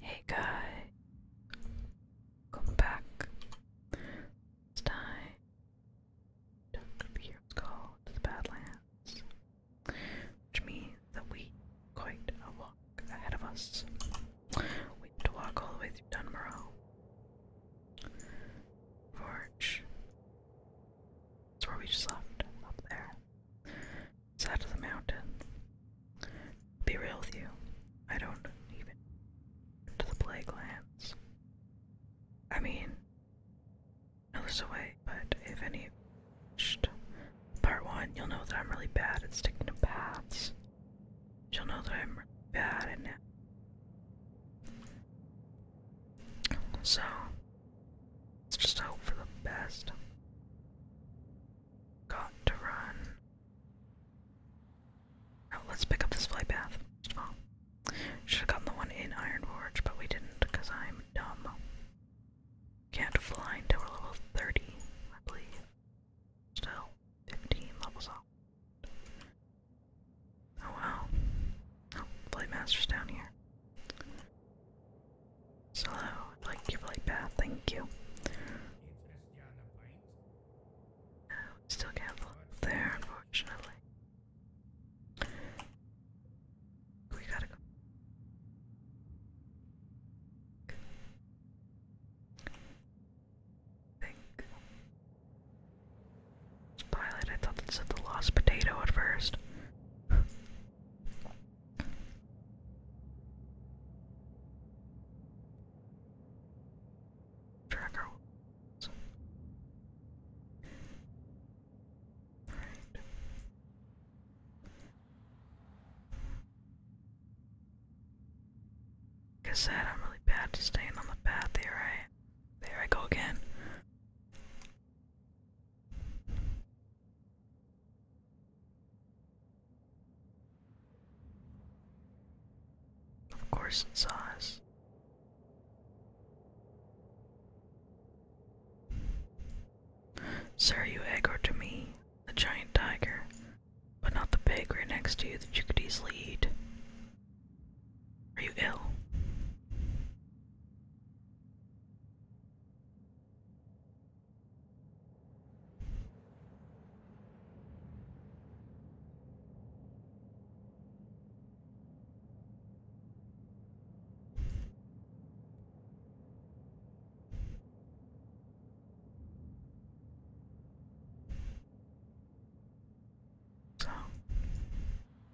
Hey guy, come back. It's time. Don't be your skull the Badlands which means that we quite a walk ahead of us. We have to walk all the way through Dunmoreau. Forge. That's where we just left, up there. Side of the mountain. Be real with you, I don't even to the plague I mean, I was away, but if any Part 1, you'll know that I'm really bad at sticking to paths. You'll know that I'm really bad at it. So, let's just hope for the best. Got to run. Now, oh, let's pick up this flight path. should have gotten the one in Iron but we didn't because I'm dumb. Can't fly until we level 30, I believe. Still, 15 levels up. Oh wow. Oh, Flight Master's down here. So, I'd like your flight path, thank you. still can't fly up there, unfortunately. We gotta go. I think. pilot, I thought it said the lost potato at first. Tracker. Alright. I said, I'm really bad to staying on the path. There I, there I go again. Of course, it us. Sir, you echo to me the giant tiger, but not the pig right next to you that you could easily eat. Are you ill? So,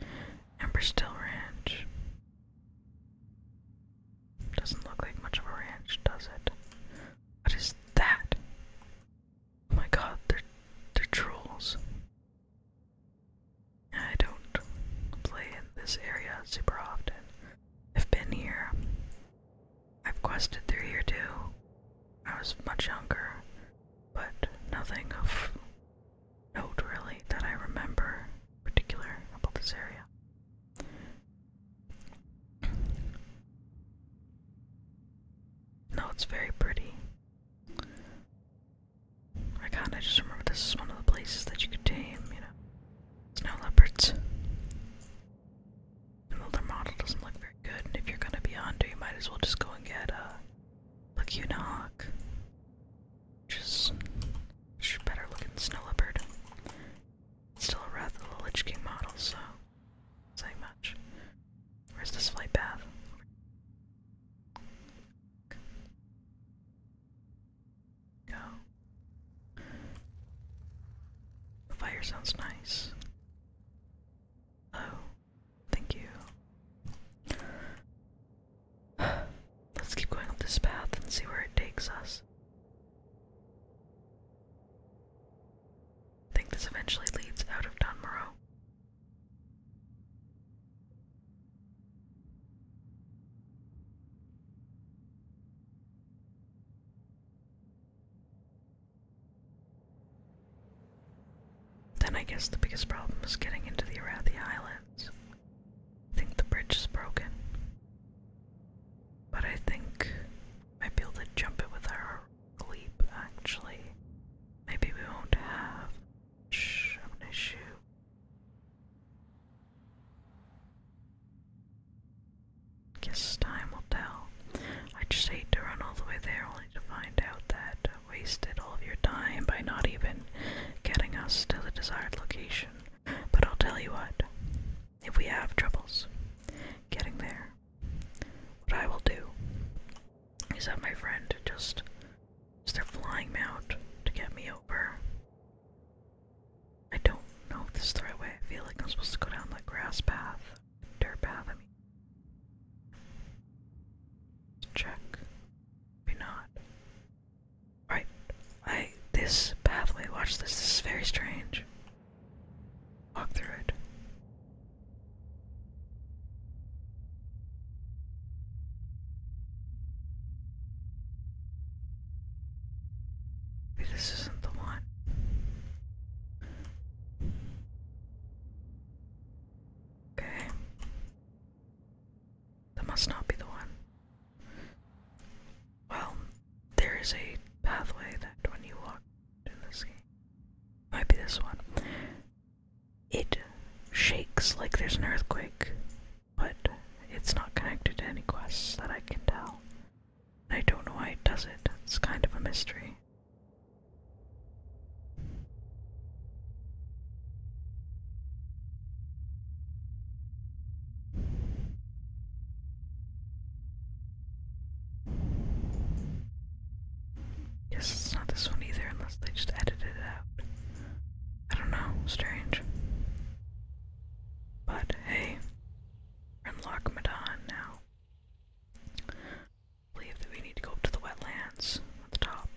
Emberstill Ranch doesn't look like much of a ranch, does it? What is that? Oh my God, they're trolls. I don't play in this area super often. I've been here I've quested through here too. I was much younger, but nothing of note really that I remember in particular about this area. No, it's very pretty. I kinda just remember this is one of the places that you could tame, you know. no leopards. The model doesn't look very good, and if you're gonna be under, you might as well just go and get a uh, lacuna hawk. Just, just better looking snow leopard. It's still a rather the Lich King model, so saying much. Where's this flight path? Go. The fire sounds nice. Oh, thank you. Let's keep going up this path and see where it takes us. I think this eventually leads out of Donmorrow. Then I guess the biggest problem is getting into the Arathi Islands. I think the bridge is broken. But I think I might be able to jump it with our leap, actually. Maybe we won't have much of an issue. Guess time will tell. I just hate to run all the way there only to find out that I wasted all of your time by not even getting us to the desired location. But I'll tell you what, if we have troubles getting there, what I will do is have my friend just start flying me out to get me over. I don't know if this is the right way. I feel like I'm supposed to go down that grass path, dirt path, I mean. Let's check. Maybe not. Alright, I, this pathway, watch this, this is very strange. Walk through it. Maybe this isn't the one. Okay. That must not be the one. Well, there is a pathway that when you walk in this game, might be this one. It shakes like there's an earthquake, but it's not connected to any quests that I can tell. I don't know why it does it. It's kind of a mystery. Guess it's not this one either, unless they just edited it out. I don't know, strange. But hey, Rimlock Madon now. believe that we need to go up to the wetlands at the top.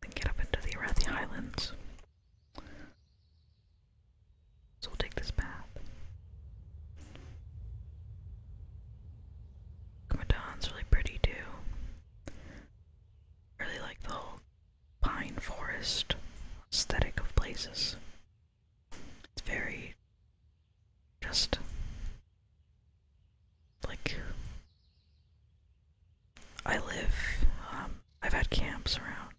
Then get up into the Arathi Highlands. So we'll take this path. Madon's really pretty too. Really like the whole pine forest aesthetic of places. It's very just like I live. Um, I've had camps around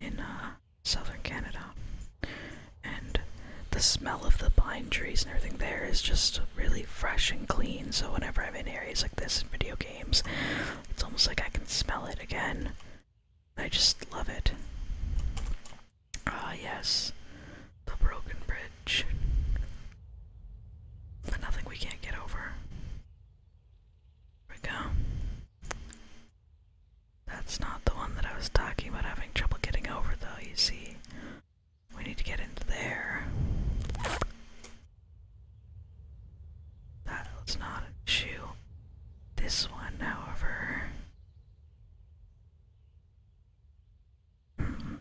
in uh, southern Canada, and the smell of the pine trees and everything there is just really fresh and clean. So whenever I'm in areas like this in video games, it's almost like I can smell it again. I just love it. Ah, yes, the broken bridge. But nothing we can't get over. Here we go. That's not the one that I was talking about having trouble getting over, though, you see. We need to get into there. That was not an issue. This one, however,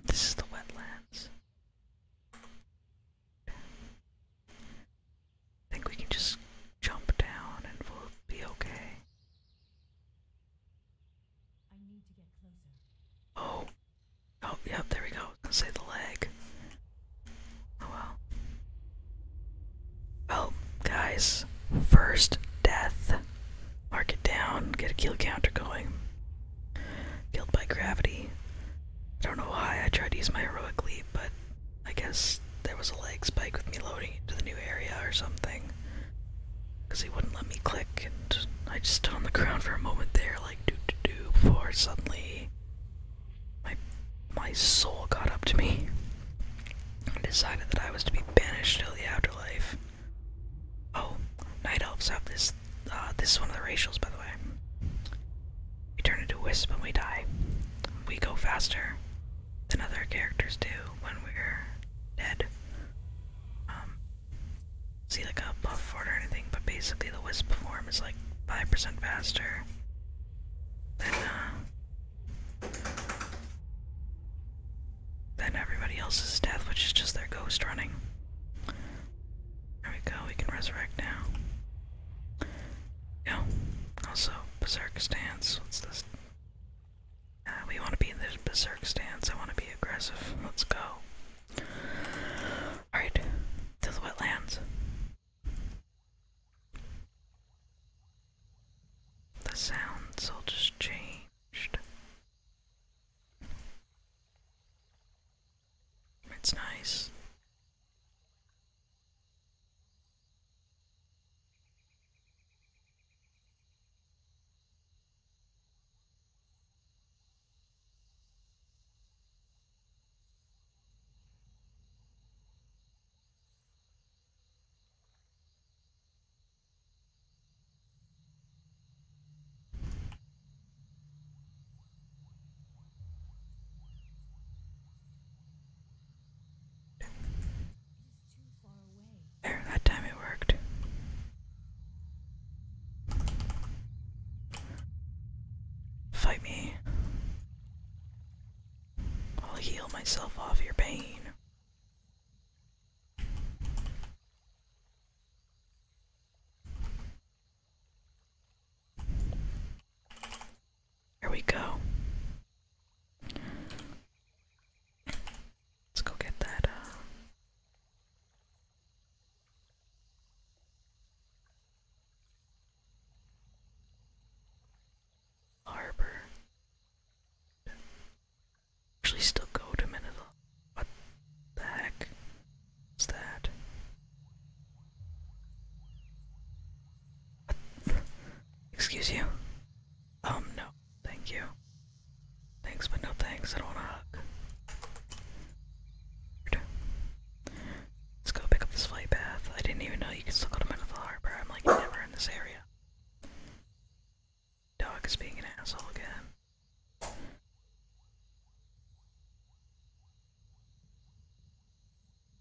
this is the wetlands. I think we can just jump down and we'll be okay. Oh. Oh, yep, there we go. I the leg. Oh well. Oh, guys. First death. Mark it down. Get a kill counter going. Killed by gravity. I don't know why I tried to use my heroic leap, but I guess there was a leg spike with me loading into the new area or something. Because he wouldn't let me click, and I just stood on the ground for a moment there, like doo doo doo, before suddenly my, my soul got up to me. I decided that I was to be banished to the afterlife. Oh, night elves have this. Uh, this is one of the racials, by the way. We turn into wisps when we die. We go faster than other characters do when we're dead. Um, see like a buff for it or anything, but basically the wisp form is like 5% faster than uh, then everybody else's death, which is just their ghost running. There we go, we can resurrect now. Go. Also, berserk stance. What's this? Uh, we want to be in the berserk stance. I want to be aggressive. Let's go. Alright, to the wetlands. The sounds all just changed. It's nice that time it worked. Fight me. I'll heal myself off your pain. There we go. Let's go get that, uh, Harbor. Actually, still cold a minute. What the heck is that? Excuse you? Um, no, thank you. Thanks, but no thanks. I don't want a hug. Let's go pick up this flight path. I didn't even know you could still go to Menethil Harbor. I'm like never in this area. Dog is being an asshole again. I'm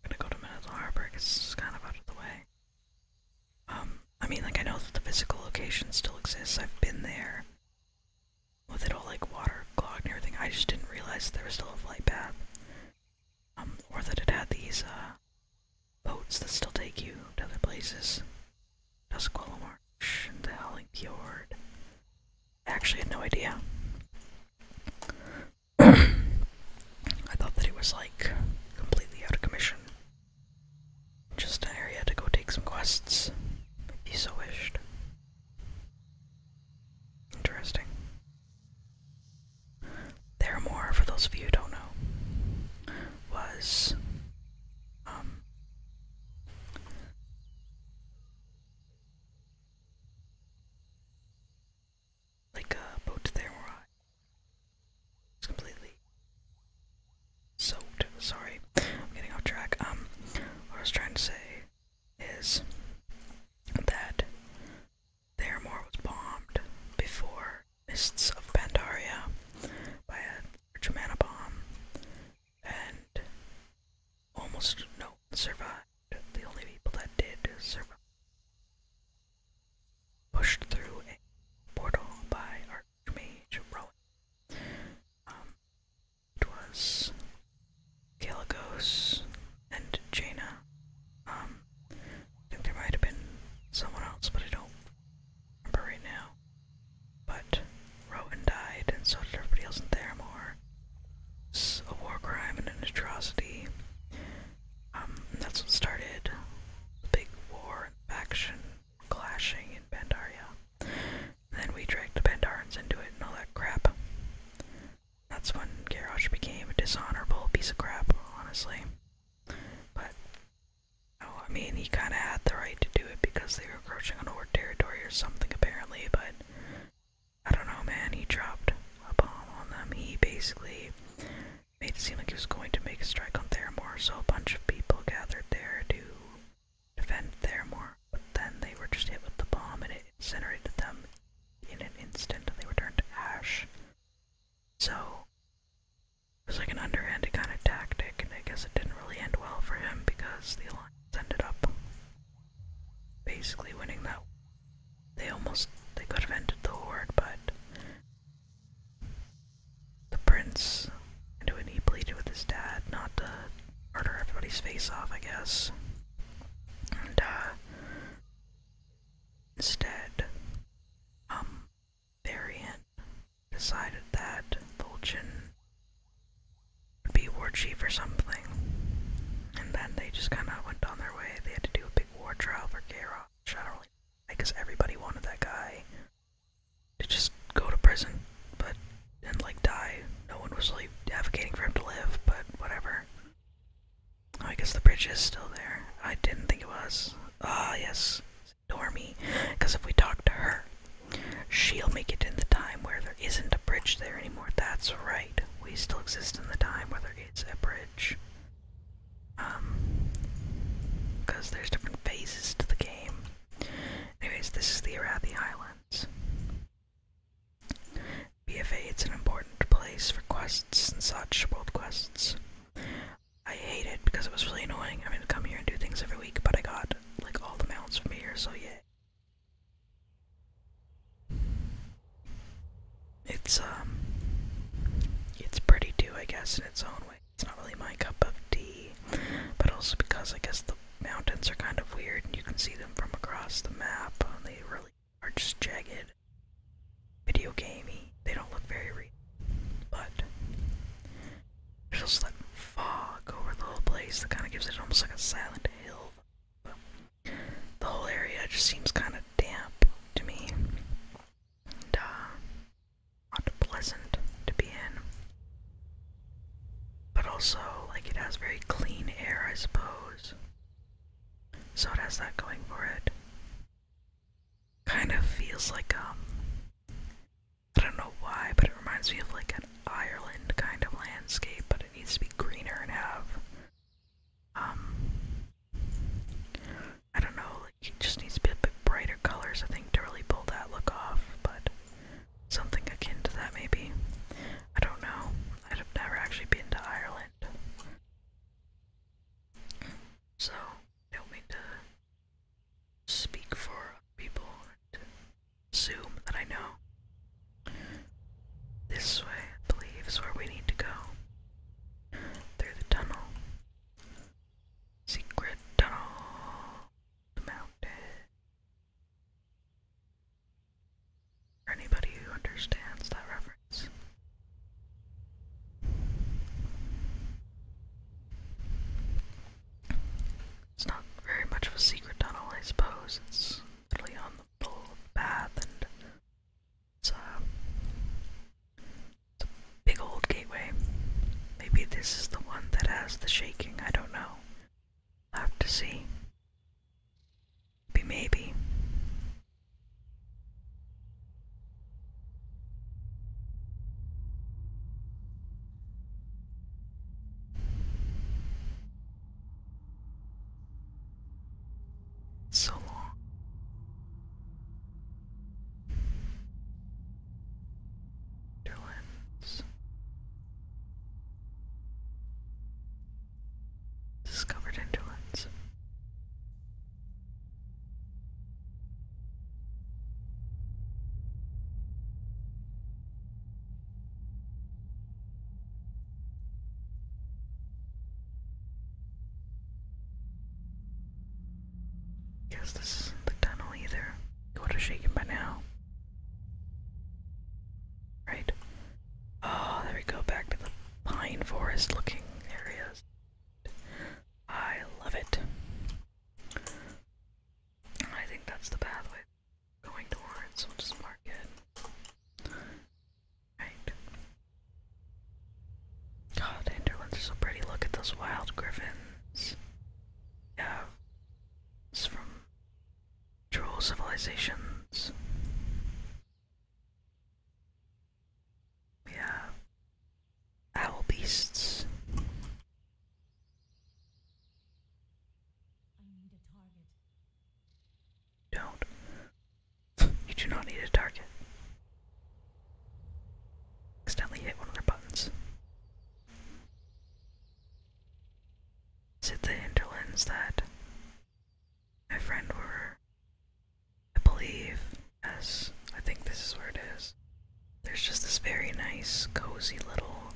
gonna go to Minotaur Harbor it's kind of out of the way. Um, I mean, like, I know that the physical location still exists. I've been there with it all, like, water clogged and everything. I just didn't realize there was still a flight path. Um, or that it had these, uh, boats that still take you to other places. Tuscola the Howling actually had no idea. I thought that it was like completely out of commission. Just an area to go take some quests, if so wished. Interesting. Theramore, for those of you who don't know, was um, like a boat to Theramore. It's completely soaked. Sorry, I'm getting off track. Um, what I was trying to say is that Theramore was bombed before Mists of Pandaria by a Germana bomb, and almost no survived. The only people that did survive pushed through a portal by Archmage Rowan. Um, it was Galagos and Jaina. Um, I think there might have been someone else, but I don't remember right now. But Rowan died, and so did everybody else in Theramore. It's a war crime and an atrocity. Um, that's what started the big war and faction clashing in Pandaria. then we dragged the Pandarans into it and all that crap. That's when Garrosh became a dishonorable piece of crap, honestly. But Oh, I mean, he kind of had the right to do it because they were encroaching on Horde territory or something, apparently, but I don't know, man. He dropped a bomb on them. He basically made it seem like he was going to make a strike on Theramore, so a bunch of people gathered there to defend Theramore, but then they were just hit with the bomb and it incinerated them in an instant and they were turned to ash. So, it was like an underhanded kind of tactic, and I guess it didn't really end well for him because the Alliance ended up basically winning that. They almost they could have ended the war, but the prince and when he pleaded with his dad not to murder everybody's face off, I guess. And uh, instead, um, Variant decided that Vulcan would be war chief or something. And then they just kind of went on their way. They had to do a big war trial for Garrosh. I because everybody wanted that guy to just go to prison, but and like die. No one was really advocating for him to live, but whatever. Oh, I guess the bridge is still there. I didn't think it was. Ah, yes. Dormy, because if we talk to her, she'll make it in the time where there isn't a bridge there anymore. That's right, we still exist in the time where there is a bridge. Um, because there's different phases to the game. Anyways, this is the Arathi Islands. BFA, it's an important place for quests and such, world quests. I hate it because it was really annoying. I mean, I'd come here and do things every week, but I got like all the mountains from here, so yeah. It's um, it's pretty too, I guess, in its own way. It's not really my cup of tea, but also because I guess the mountains are kind of weird, and you can see them from across the map. And they really are just jagged video gamey. They don't look very real, but there's just that fog over the whole place that kind of gives it almost like a silent hill. But the whole area just seems kind of damp to me, uh, not pleasant to be in. But also, like it has very clean air, I suppose. So it has that going for it kind of feels like um I don't know why, but it reminds me of like an Ireland kind of landscape, but it needs to be greener and have um, I don't know, like it just needs to be a bit brighter colors I think to really pull that look off, but something akin to that maybe. I don't know. I'd have never actually been to Ireland. So don't mean to speak for people and assume that I know. This way, I believe, is where we need to go. Through the tunnel. Secret tunnel. The mountain. For anybody who understands that reference. It's not very much of a secret tunnel, I suppose. It's literally on the middle path, and uh, it's, a big old gateway. Maybe this is the one that has the shaking, I don't know. i have to see. Maybe, maybe. So long. Netherlands. Discovered in Netherlands. Guess this the tunnel either. It would have shaken by now. Right. Oh, there we go, back to the pine forest looking areas. I love it. I think that's the pathway going towards, so Right. Oh, Interlands are so pretty. Look at those wild griffins. Yeah. It's from troll civilizations. We Owl beasts. Don't. you do not need a target. Accidentally hit one of our buttons. Is the hinterlands that my friend were? I believe. Yes, I think this is where it is. There's just this very nice, cozy little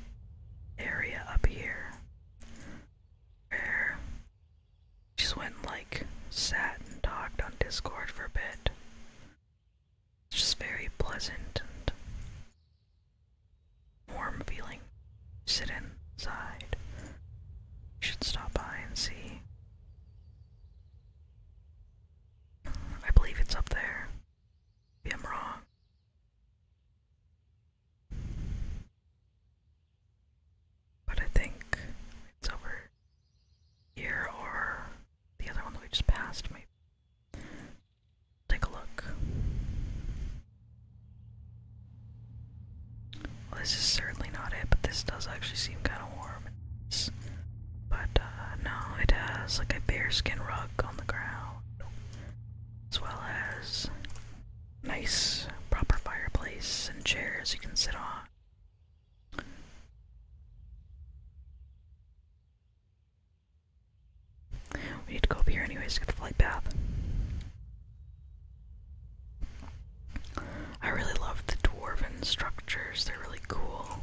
area up here where I just went and, like sat and talked on Discord for a bit. It's just very pleasant and warm feeling. Sit inside. should stop by and see. I believe it's up there. Maybe I'm wrong. But I think it's over here or the other one that we just passed, maybe. Take a look. Well, this is certainly not it, but this does actually seem kind of warm. But uh, no, it has like a bearskin rug on the ground, as well as nice proper fireplace and chairs you can sit on. We need to go up here anyways to get the flight path. I really love the dwarven structures, they're really cool.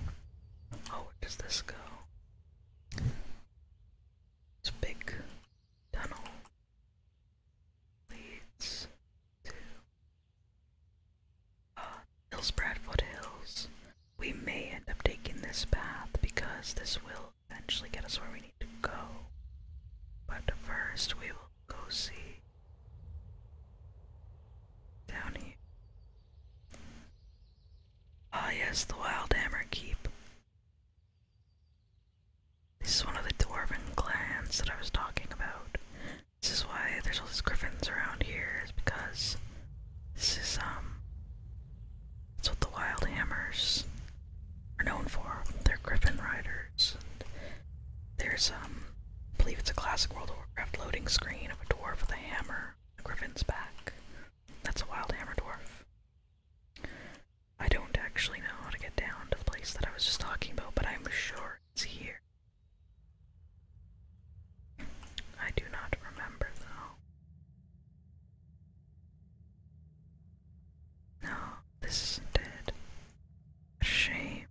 Oh, where does this go? This big tunnel leads to Hills Bradford Hills. We may end up taking this path because this will eventually get us where we need to go. But first, we will go see down here. Ah yes, the Wild Hammer Keep. This is one of the dwarven clans that I was talking about. This is why there's all these griffins around here, is because this is um that's what the Wild Hammers are known for. They're griffin riders. And there's um I believe it's a classic World of Warcraft loading screen of a dwarf with a hammer. Griffin's back. That's a wild hammer dwarf. I don't actually know how to get down to the place that I was just talking about, but I'm sure it's here. I do not remember though. No, this isn't Shame.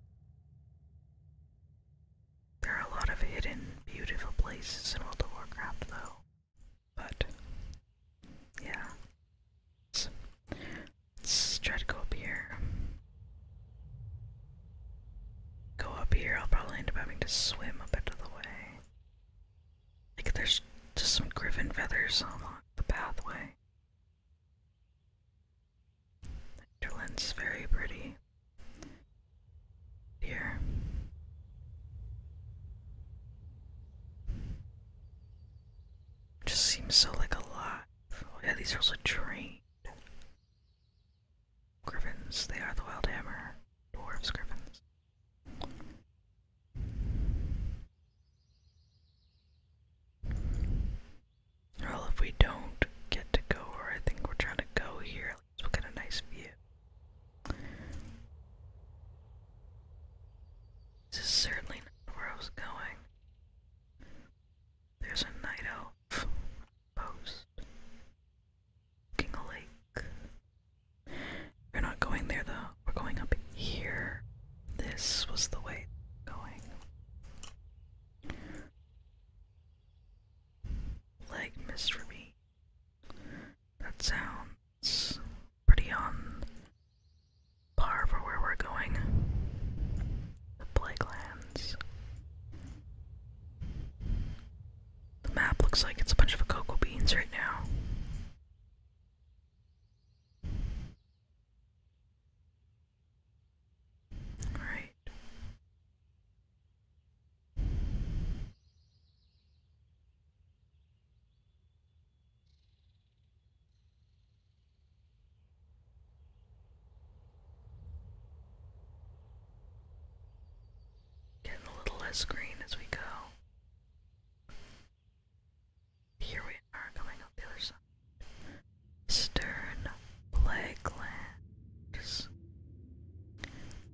There are a lot of hidden, beautiful places in World of Warcraft, though. But, yeah. Let's, try to go up here. Go up here, I'll probably end up having to swim a bit of the way. Like, there's just some griffin feathers along the pathway. Midland's very pretty. Dear. Just seems so like a lot. Oh, yeah, these are trained. Griffins, they are the wild hammer. Dwarves, griffins. Well, if we don't get to go where I think we're trying to go here, Let's get nice view. This is certainly not where I was going. There's a night elf post. Looking a lake. We're not going there though. We're going up here. This was the way going. Leg mystery. That sounds pretty on par for where we're going. The Plague Lands. The map looks like it's a bunch of cocoa beans right now. Alright. Getting a little less green as we go. Here we are coming up the other side. Stern Blacklands.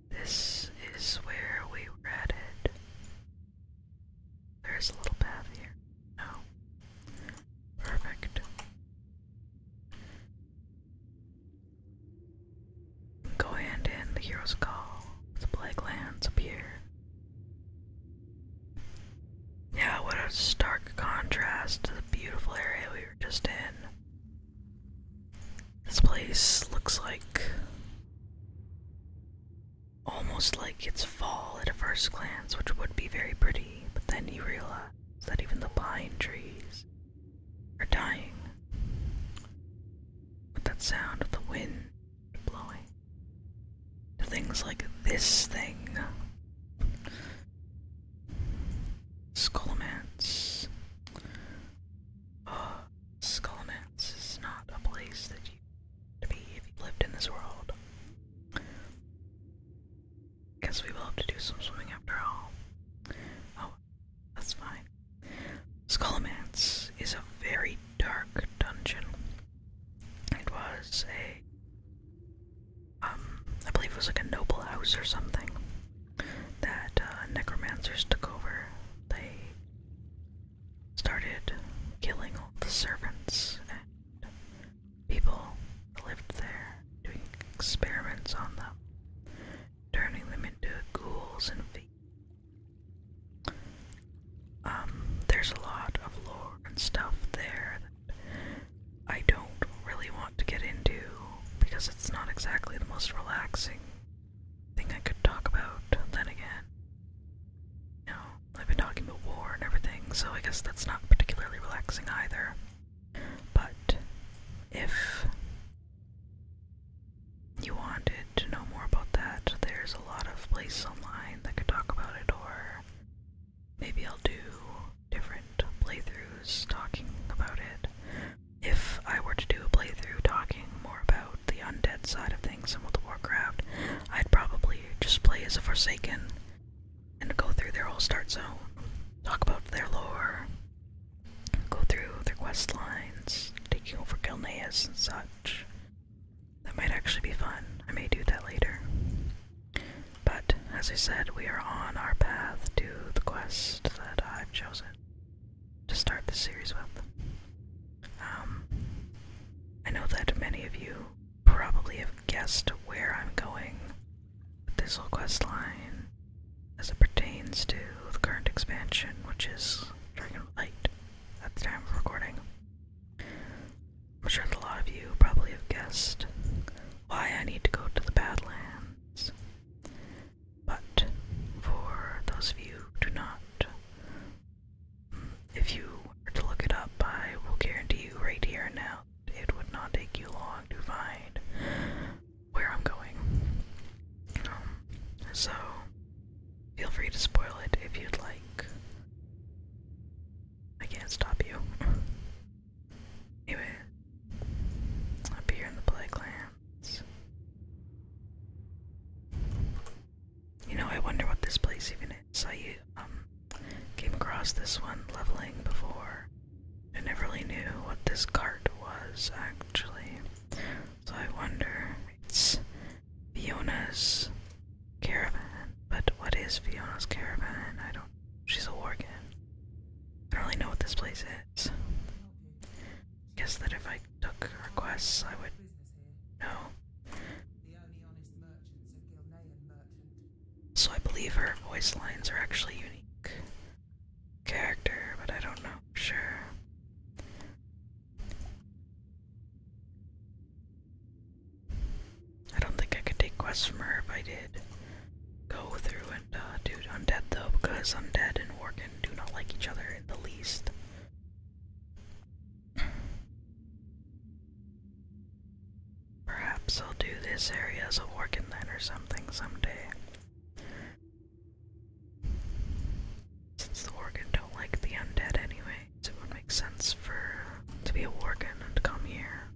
This is where we were at it. There's a little path here. No. Perfect. Go hand in the hero's call. The plague lands appear. Yeah, what a stark contrast to the beautiful area we were just in. This place looks like almost like it's fall at a first glance, which would be very pretty, but then you realize that even the pine trees are dying with that sound of the wind blowing. To things like this thing. Skolomance. Oh, Skull is not a place that you to be if you lived in this world. because we will have to do some swimming after all. Oh, that's fine. Skullomance is a very dark dungeon. It was a, um, I believe it was like a noble house or something that uh, necromancers took over, they started killing all the servants and people lived there, doing experiments on them, turning them into ghouls and feet. Um, there's a lot of lore and stuff there that I don't really want to get into because it's not exactly the most relaxing thing I could talk about then again. You I've been talking about war and everything, so I guess that's not particularly relaxing either. But if you wanted to know more about that, there's a lot of places online that could talk about it, or maybe I'll do different playthroughs talking about it. If I were to do a playthrough talking more about the undead side of things in World of Warcraft, I'd probably just play as a Forsaken and go through their whole start zone, talk about their lore, go through their quest lines, taking over Gilneas and such. That might actually be fun. I may do that later. But, as I said, we are on our path to the quest that I've chosen to start the series with. Um, I know that many of you probably have guessed where I'm going with this whole quest line as it pertains to the current expansion, which is Dragon Light at the time of recording. I'm sure that a lot of you probably have guessed why I need to go to the Badlands. But for those of you who do not, if you were to look it up, I will guarantee you right here and now it would not take you long to find where I'm going. Um, so, feel free to spoil it if you'd like. I can't stop you. anyway, up here in the playground. You know, I wonder what this place even is. I um, came across this one leveling before. I never really knew what this cart was, actually. So I wonder. It's Fiona's caravan. But what is Fiona's caravan? I don't. She's a worgen. I don't really know what this place is guess that if I took requests, I would know. So I believe her voice lines are actually unique character, but I don't know for sure. I don't think I could take quests from her if I did go through and uh, do undead though, because undead and Worgen do not like each other in the least. Perhaps I'll do this area as a working then or something someday. Since the Worgen don't like the undead anyway, it would make sense for to be a Worgen and come here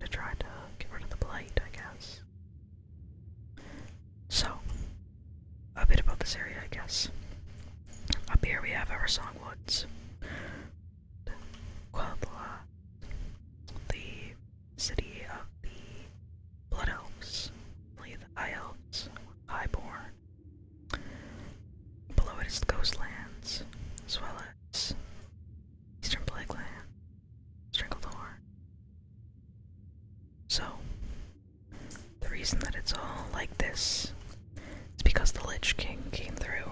to try to get rid of the blight, I guess. So, a bit about this area, I guess. Up here we have our songwoods, Quabla, the city of the Blood Elves, the High Elves, Highborn. Below it is the Ghostlands, as well as Eastern Plagueland, Stranglethorn. So, the reason that it's all like this is because the Lich King came through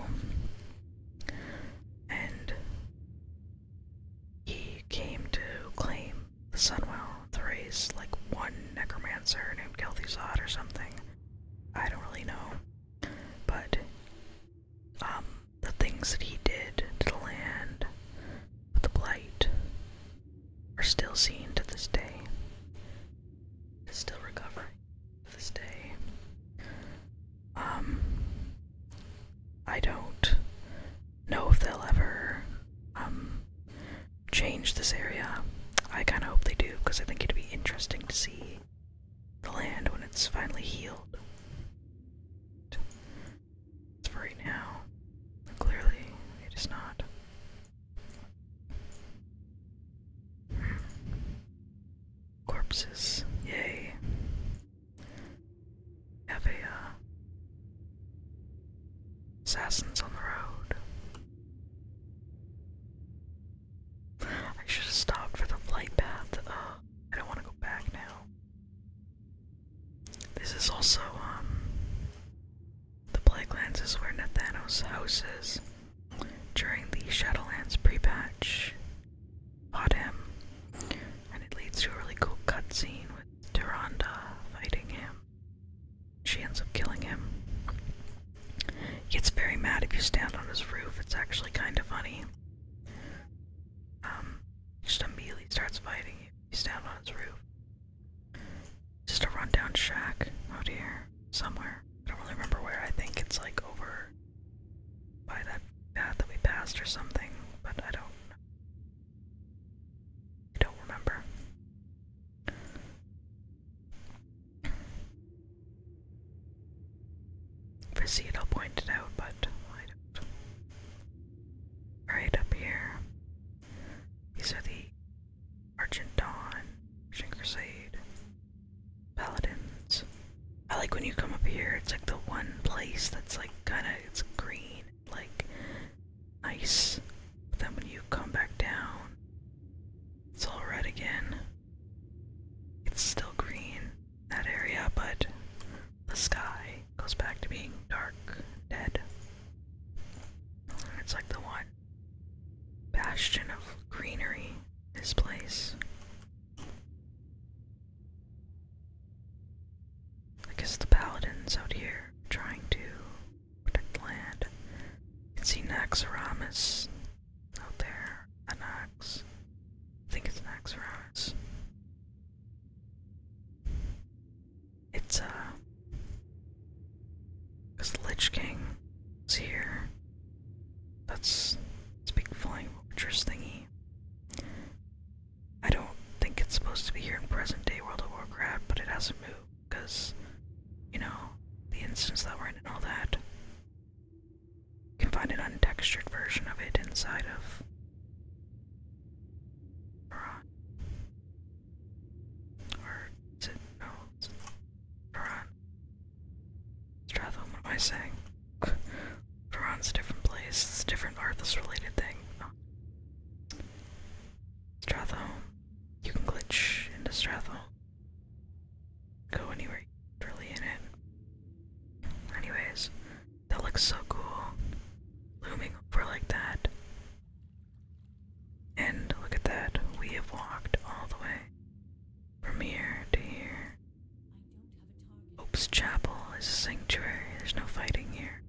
and he came to claim the Sunwell to raise like one necromancer named Kel'Thuzad or something. I don't really know. But um the things that he did to the land, with the blight, are still seen to this day. It's still recovering to this day. Um, I don't know if they'll ever um, change this area. I kind of hope they do because I think it'd be interesting to see the land when it's finally healed. It's for right now. Clearly, it is not. Corpses, yay. Have a uh, assassins on the road. I should have stopped for the flight path. I don't want to go back now. This is also um the Blacklands is where Nathanos' house is. During the Shadowlands pre-patch, fought him, and it leads to a really cool cutscene with Duranda fighting him. She ends up killing him. He gets very mad if you stand on his roof. It's actually kind of funny. Um, he just immediately starts fighting you. You stand on his roof. Just a rundown shack out here somewhere. I don't really remember where. I think it's like over by that path that we passed or something, but I don't I don't remember. If I see it, I'll point it out, but I don't. Right up here. These are the Argent Dawn, Shin Crusade, Paladins. I like when you come up here, it's like the one place that's like kinda, it's green, like nice. But then when you come back down, it's all red again. It's still green, in that area, but the sky goes back to being dark, dead. It's like the one bastion of greenery, this place. I guess the paladins out here trying to protect land. You can see Naxxramas out there. Anax. I think it's Naxxramas. It's, uh. Because Lich King is here. That's. It's big flying fortress thingy. I don't think it's supposed to be here in present day World of Warcraft, but it hasn't moved because, you know, the instance that we're in and all that. You can find an untextured version of it inside of. Or it no? Duran. what am I saying? Duran's a different place. It's a different Arthas related thing. No. Oh. You can glitch into Stratham. Go anywhere you're really in it. Anyways, that looks so cool. Looming over like that. And look at that, we have walked all the way from here to here. Hope's Chapel is a sanctuary, there's no fighting here.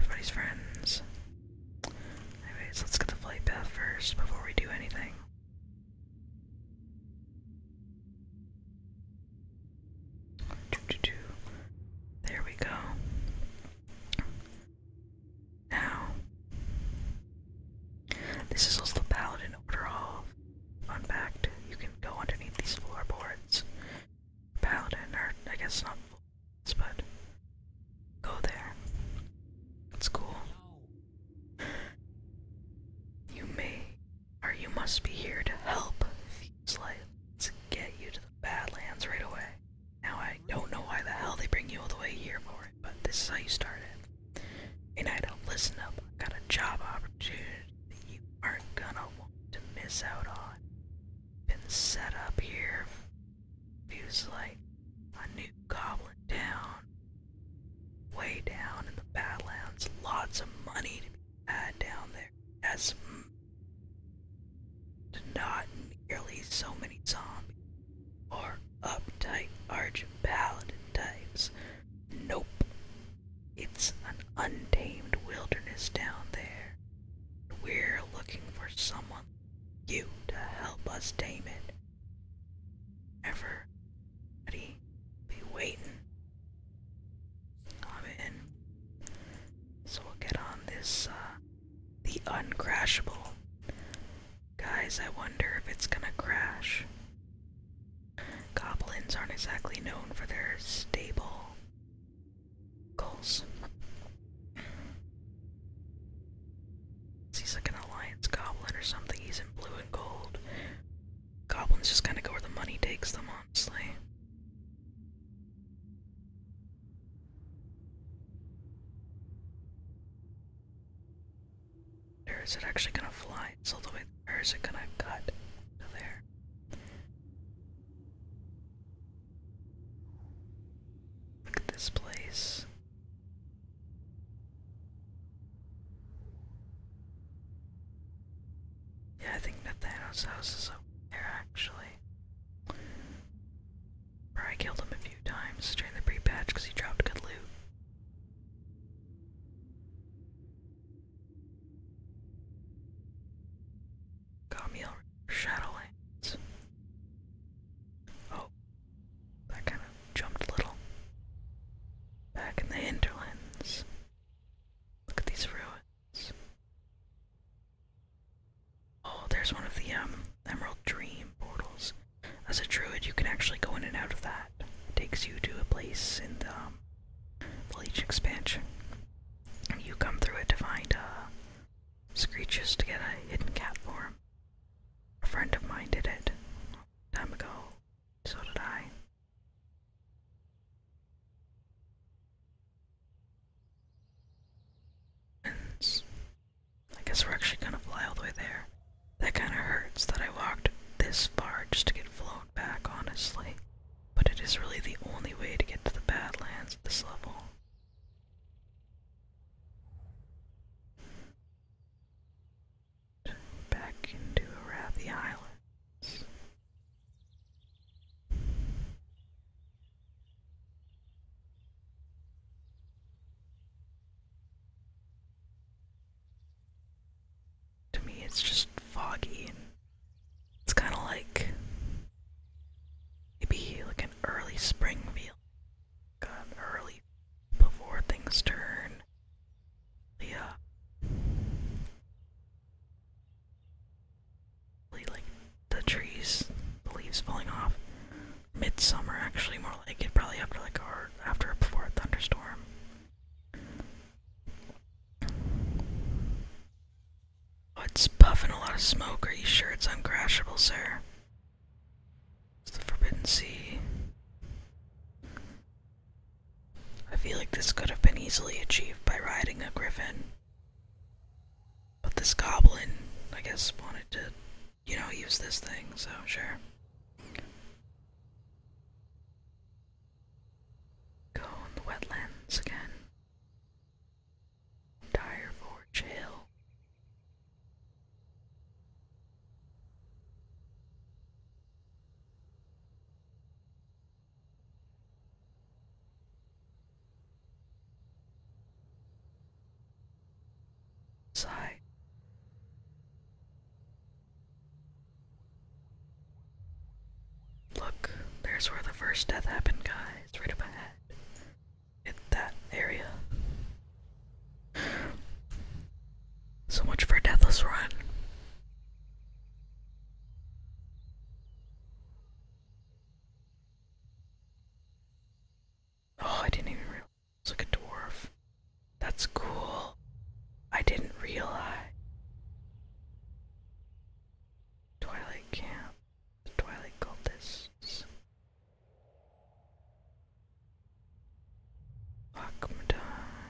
Everybody's friends. Anyways, let's get the flight path first before we do anything. There we go. Now, this is also the pallet in order of unpacked. You can go underneath these floorboards. Paladin, or I guess not floorboards, but go there. It's cool. You may, or you must be here to help Let's get you to the Badlands right away. Now I don't know why the hell they bring you all the way here for it, but this is how you started. And I don't listen up. I got a job opportunity that you aren't gonna want to miss out on. Been set up here. Feels like a new goblin town. Way down in the Badlands. Lots of money to be had down there. As not nearly so many zombies or uptight arch types. Nope. It's an untamed wilderness down there. We're looking for someone you to help us tame it. Ever Be waiting. I'm in. So we'll get on this uh, the uncrashable. Guys, I wonder if it's gonna crash. Goblins aren't exactly known for their stable goals. He's like an alliance goblin or something. He's in blue and gold. Goblins just kind of go where the money takes them, honestly. Where is it actually gonna fly? It's all the way Where is it gonna cut to there? Look at this place. Yeah, I think Nathano's house is up there actually. I killed him a few times during the pre-patch because he dropped good loot. Communal Shadowlands. Oh, that kind of jumped a little. Back in the hinterlands. Look at these ruins. Oh, there's one of the um, Emerald Dream portals. As a druid, you can actually go in and out of that. It takes you to a place in the, um, the Leech expansion. You come through it to find uh, Screeches to get a hidden cat form. A friend of mine did it time ago. So did I. I guess we're actually gonna fly all the way there. That kinda hurts that I walked this far just to get flown back, honestly. But it is really the only way to get to the Badlands at this level. Back into Arathi Islands. To me, it's just foggy and it's kind of like maybe like an early spring feel. Got early before things turn. Yeah. Really the trees, the leaves falling off. Midsummer, actually, more like it. Probably after like or after or before a thunderstorm. Oh, it's puffing a lot of smoke. Are you sure it's uncrashable, sir? It's the Forbidden Sea. I feel like this could have been easily achieved by riding a griffin. But this goblin, I guess, wanted to you know, use this thing, so sure. Go on the wetlands again. Dire Forge Hill. Sigh. Look, there's where the first death happened, guys. Right up ahead. In that area. So much for a Deathless Run. Oh, I didn't even realize it like a dwarf. That's cool. I didn't realize. Twilight Camp. The Twilight Cultists. Akmadon.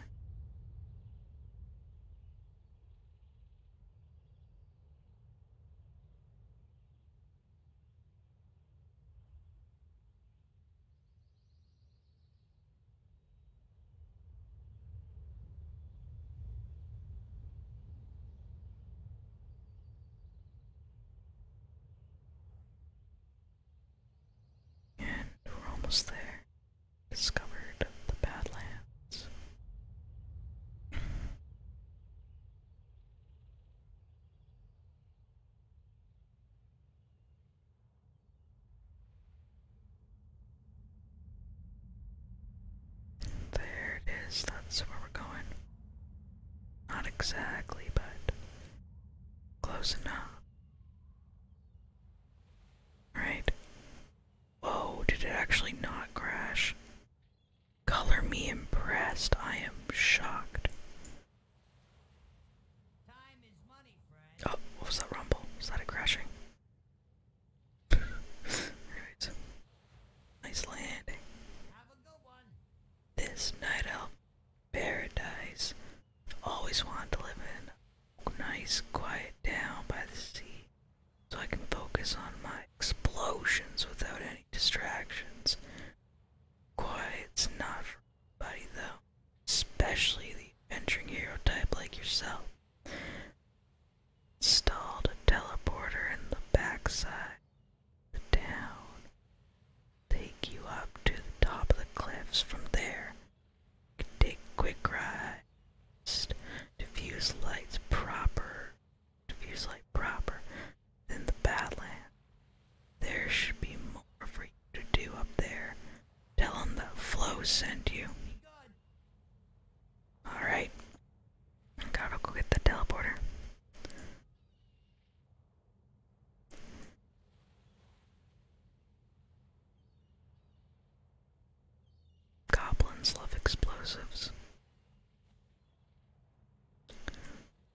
And we're almost there. Discovered the Badlands. There it is, that's where we're going. Not exactly, but close enough. Right? Whoa, did it actually not crash? Color me impressed. I am shocked. Oh, what was that rumble? Was that a crashing? Alright. Nice landing. This night elf paradise. always wanted to live in nice quiet down by the sea so I can focus on my explosions without any distractions. Quiet's not for everybody though, especially the adventuring hero type like yourself. Installed a teleporter in the backside of the town. Take you up to the top of the cliffs from there. You take quick rides, diffuse lights proper, like proper than the Badland. There should be more for you to do up there. Tell them that Flo sent you. Alright. Gotta go get the teleporter. Goblins love explosives.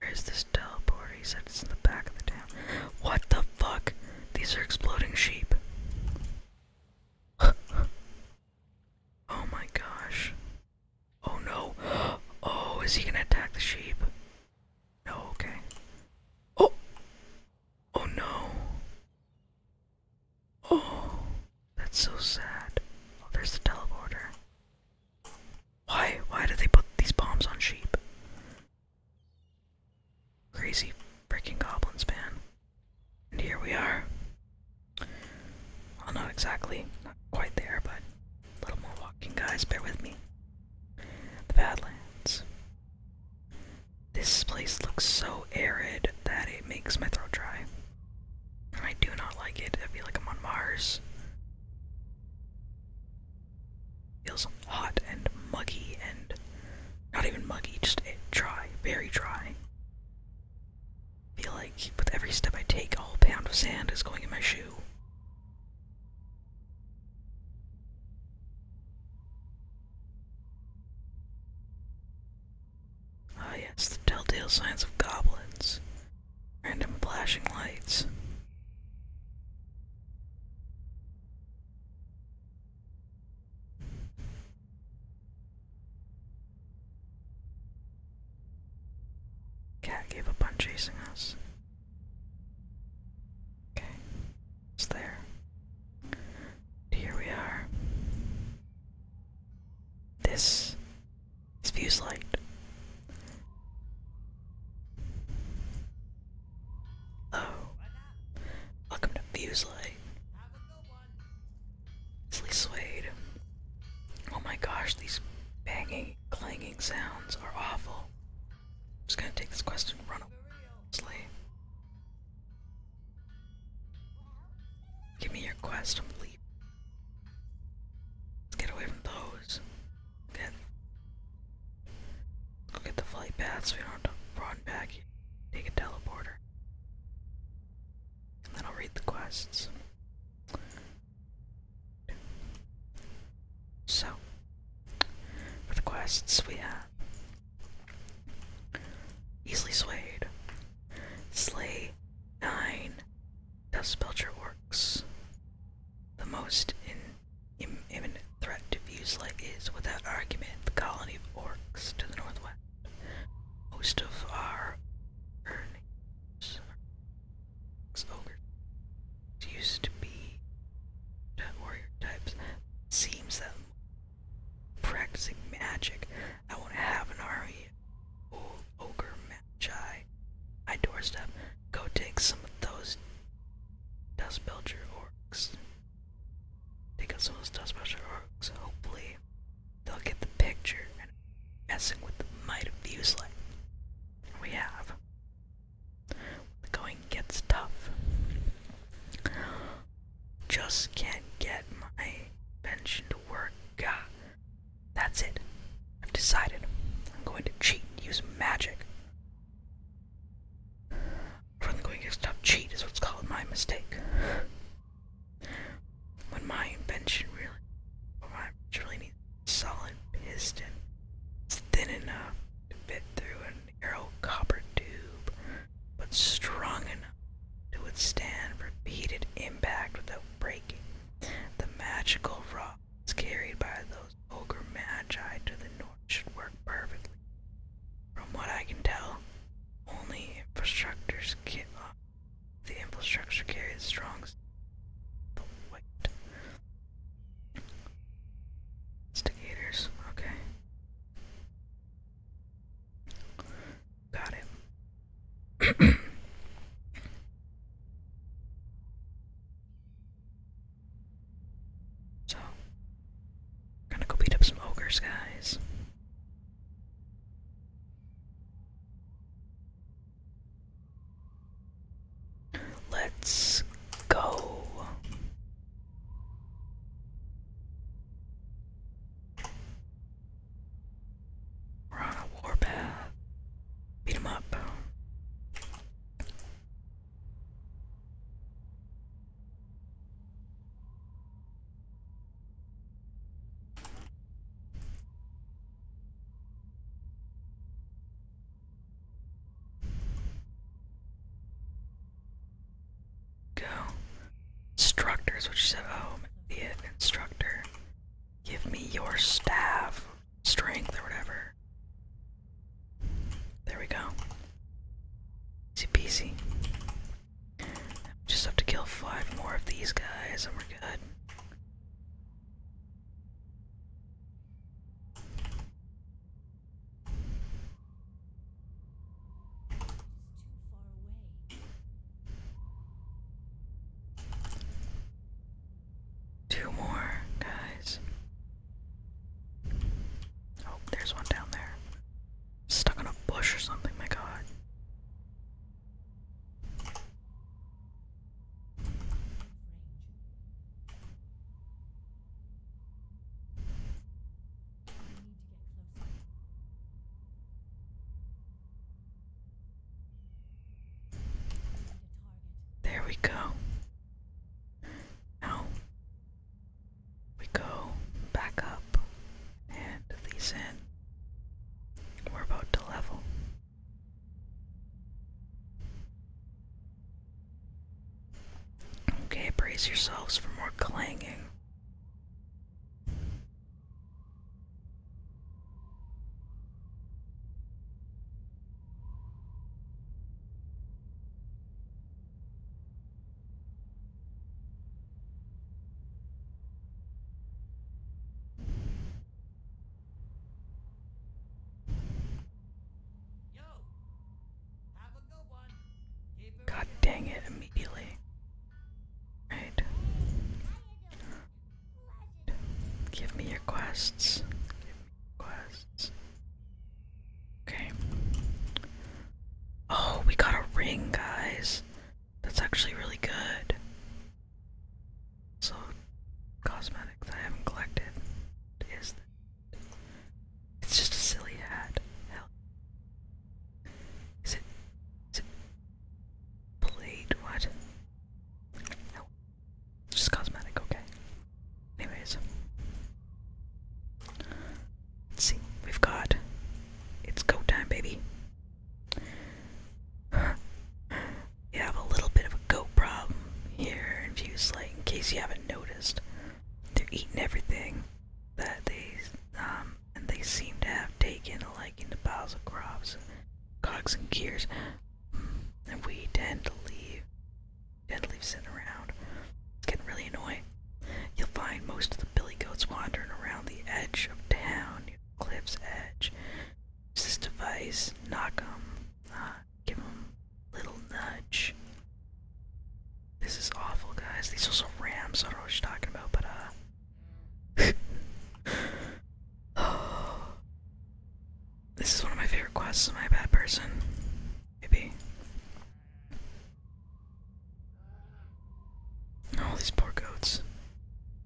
Where's this teleport? He said it's in the back of the town. What the fuck? These are exploding sheep. oh my gosh. Oh no. Oh, is he gonna attack the sheep? No, okay. Oh! Oh no. Oh, that's so sad. Oh, there's the teleporter. Why? Why do they put these bombs on sheep? Crazy freaking goblins, man. And here we are. Well, not exactly, not quite there, but a little more walking, guys. Bear with me. The Badlands. This place looks so arid that it makes my throat dry. I do not like it. I feel like I'm on Mars. Feels hot and muggy and not even muggy, just eh, dry, very dry. I feel like with every step I take, a whole pound of sand is going in my shoe. Ah, yes, the telltale signs of goblins. Random flashing lights. Cat gave up on chasing us. Okay, it's there. Here we are. This his fuse light. Hello. Oh. Welcome to Fuse Light. Leslie Suede. Oh my gosh, these banging, clanging sounds are awful. I'm just gonna take this quest and run away. Give me your quest, I'm leaving. Let's get away from those. Get, go get the flight path so we don't have to run back. Take a teleporter. And then I'll read the quests. So, for the quests we have Easily Swayed, Slay 9, Dust Belcher works. The most imminent threat to Fuselight is, without argument, the colony of orcs to the northwest. Most of our earnings are ogres. Used to be warrior types. seems that practicing magic, I want to have an army of ogre magi. My doorstep. Go take some of those Dust Belcher orcs. Take out some of those Dust Belcher orcs. Hopefully, they'll get the picture and messing with the might of the Uselite. We have. The going gets tough. Just can't get my pension to work. God. That's it. I've decided I'm going to cheat and use magic. From the going to stuff cheat is what's called my mistake. When my invention really my invention really needs a solid piston. It's thin enough to fit through an narrow copper tube, but strong enough to withstand repeated impact without breaking. The magical rod was carried by those ogre magi to the north should work perfectly. From what I can tell, only infrastructures get up. Uh, the infrastructure carries strongs. the weight. Instigators, okay. Got it. So, we're gonna go beat up some ogres, guys. Let's go. We're on a warpath. Beat him up. Go. Instructors, which said, oh, be it instructor. Give me your staff, strength, or whatever. There we go. Easy peasy. We just have to kill five more of these guys and we're good. Two more, guys. Oh, there's one down there. Stuck in a bush or something, my god. There we go. Now we go back up and these in. We're about to level. Okay, brace yourselves for more clanging. God dang it, immediately. Right. Give me your quests. Okay. Oh, we got a ring, guys. That's actually really good. So, cosmetics I haven't collected is this. It's just silly hat. Hell. Is it. Is it. Blade? What? Help. Just cosmetic, okay. Anyways. Let's see. We've got it's goat time, baby. you have a little bit of a goat problem here in Viewslate, in case you haven't noticed. They're eating everything that they um and they seem to have taken a liking to piles of crops, cogs and gears. And we tend to leave dead leaves sitting around. It's getting really annoying. You'll find most of the billy goats wandering around the edge of town, cliff's edge. Use this device, Knock them. Uh, give them little nudge. This is awful, guys. These are some rams. I don't know what you're talking about, but uh. Oh. This is one of my favorite quests. Am I a bad person? Maybe. All oh, these poor goats.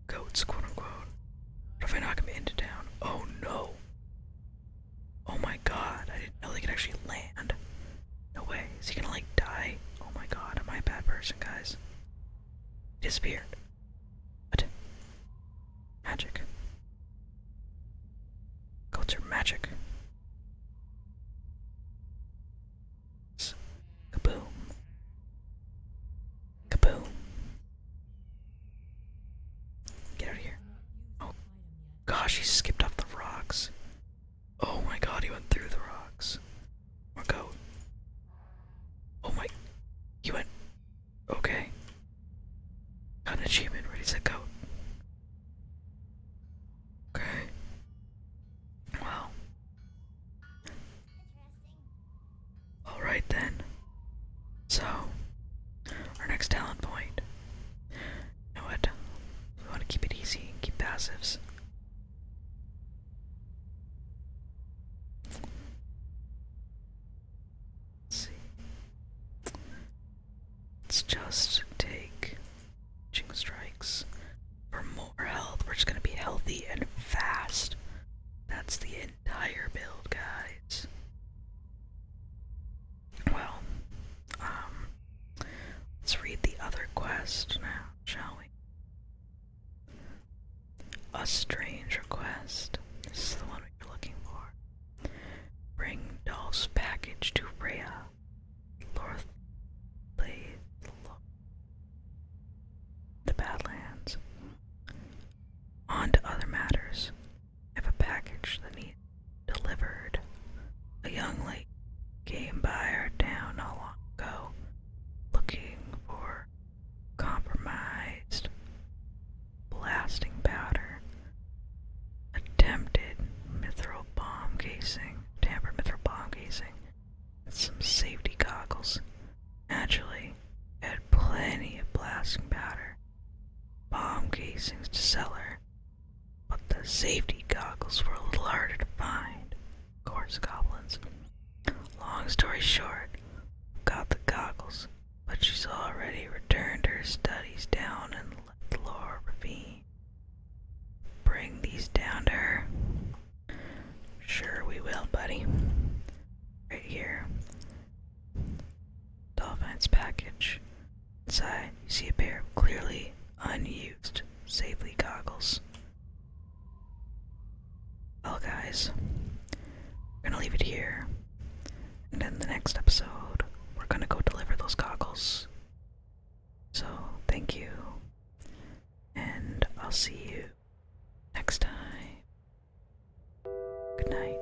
Goats, quote unquote. What if I knock him into town? Oh no! Oh my god, I didn't know they could actually land. No way. Is he gonna like die? Oh my god, am I a bad person, guys? disappeared. What? Magic. Culture magic. Kaboom. Kaboom. Get out of here. Oh gosh, he skipped off the rocks. Oh my god, he went through the rocks. Or go. Oh my. He went Okay. Got achievement, ready to go. Okay. Wow. Alright then. So our next talent point. what? We want to keep it easy keep passives. Let's see. Let's just take Ching Strikes for more health. We're just gonna be healthy and fast. That's the entire build, guys. Well, um, let's read the other quest now, shall we? A strange request. This is the one we are looking for. Bring Dolph's package to Rea. Lorth the Badlands. On to other matters. I have a package that needs delivered. A young lady came by our town not long ago, looking for compromised blasting powder, attempted mithril bomb casing, tampered mithril bomb casing, some safety goggles. Naturally, had plenty of blasting powder, bomb casings to sell her, but the safety goggles were a little harder to find. Of goblins. Long story short, got the goggles, but she's already returned her studies down in Laura Ravine. Bring these down to her. Sure, we will, buddy. Right here. Dolphin's package. Inside, you see a pair of clearly unused safely goggles. Well, guys, we're gonna leave it here. And in the next episode, we're gonna go deliver those goggles. So, thank you, and I'll see you next time. Good night.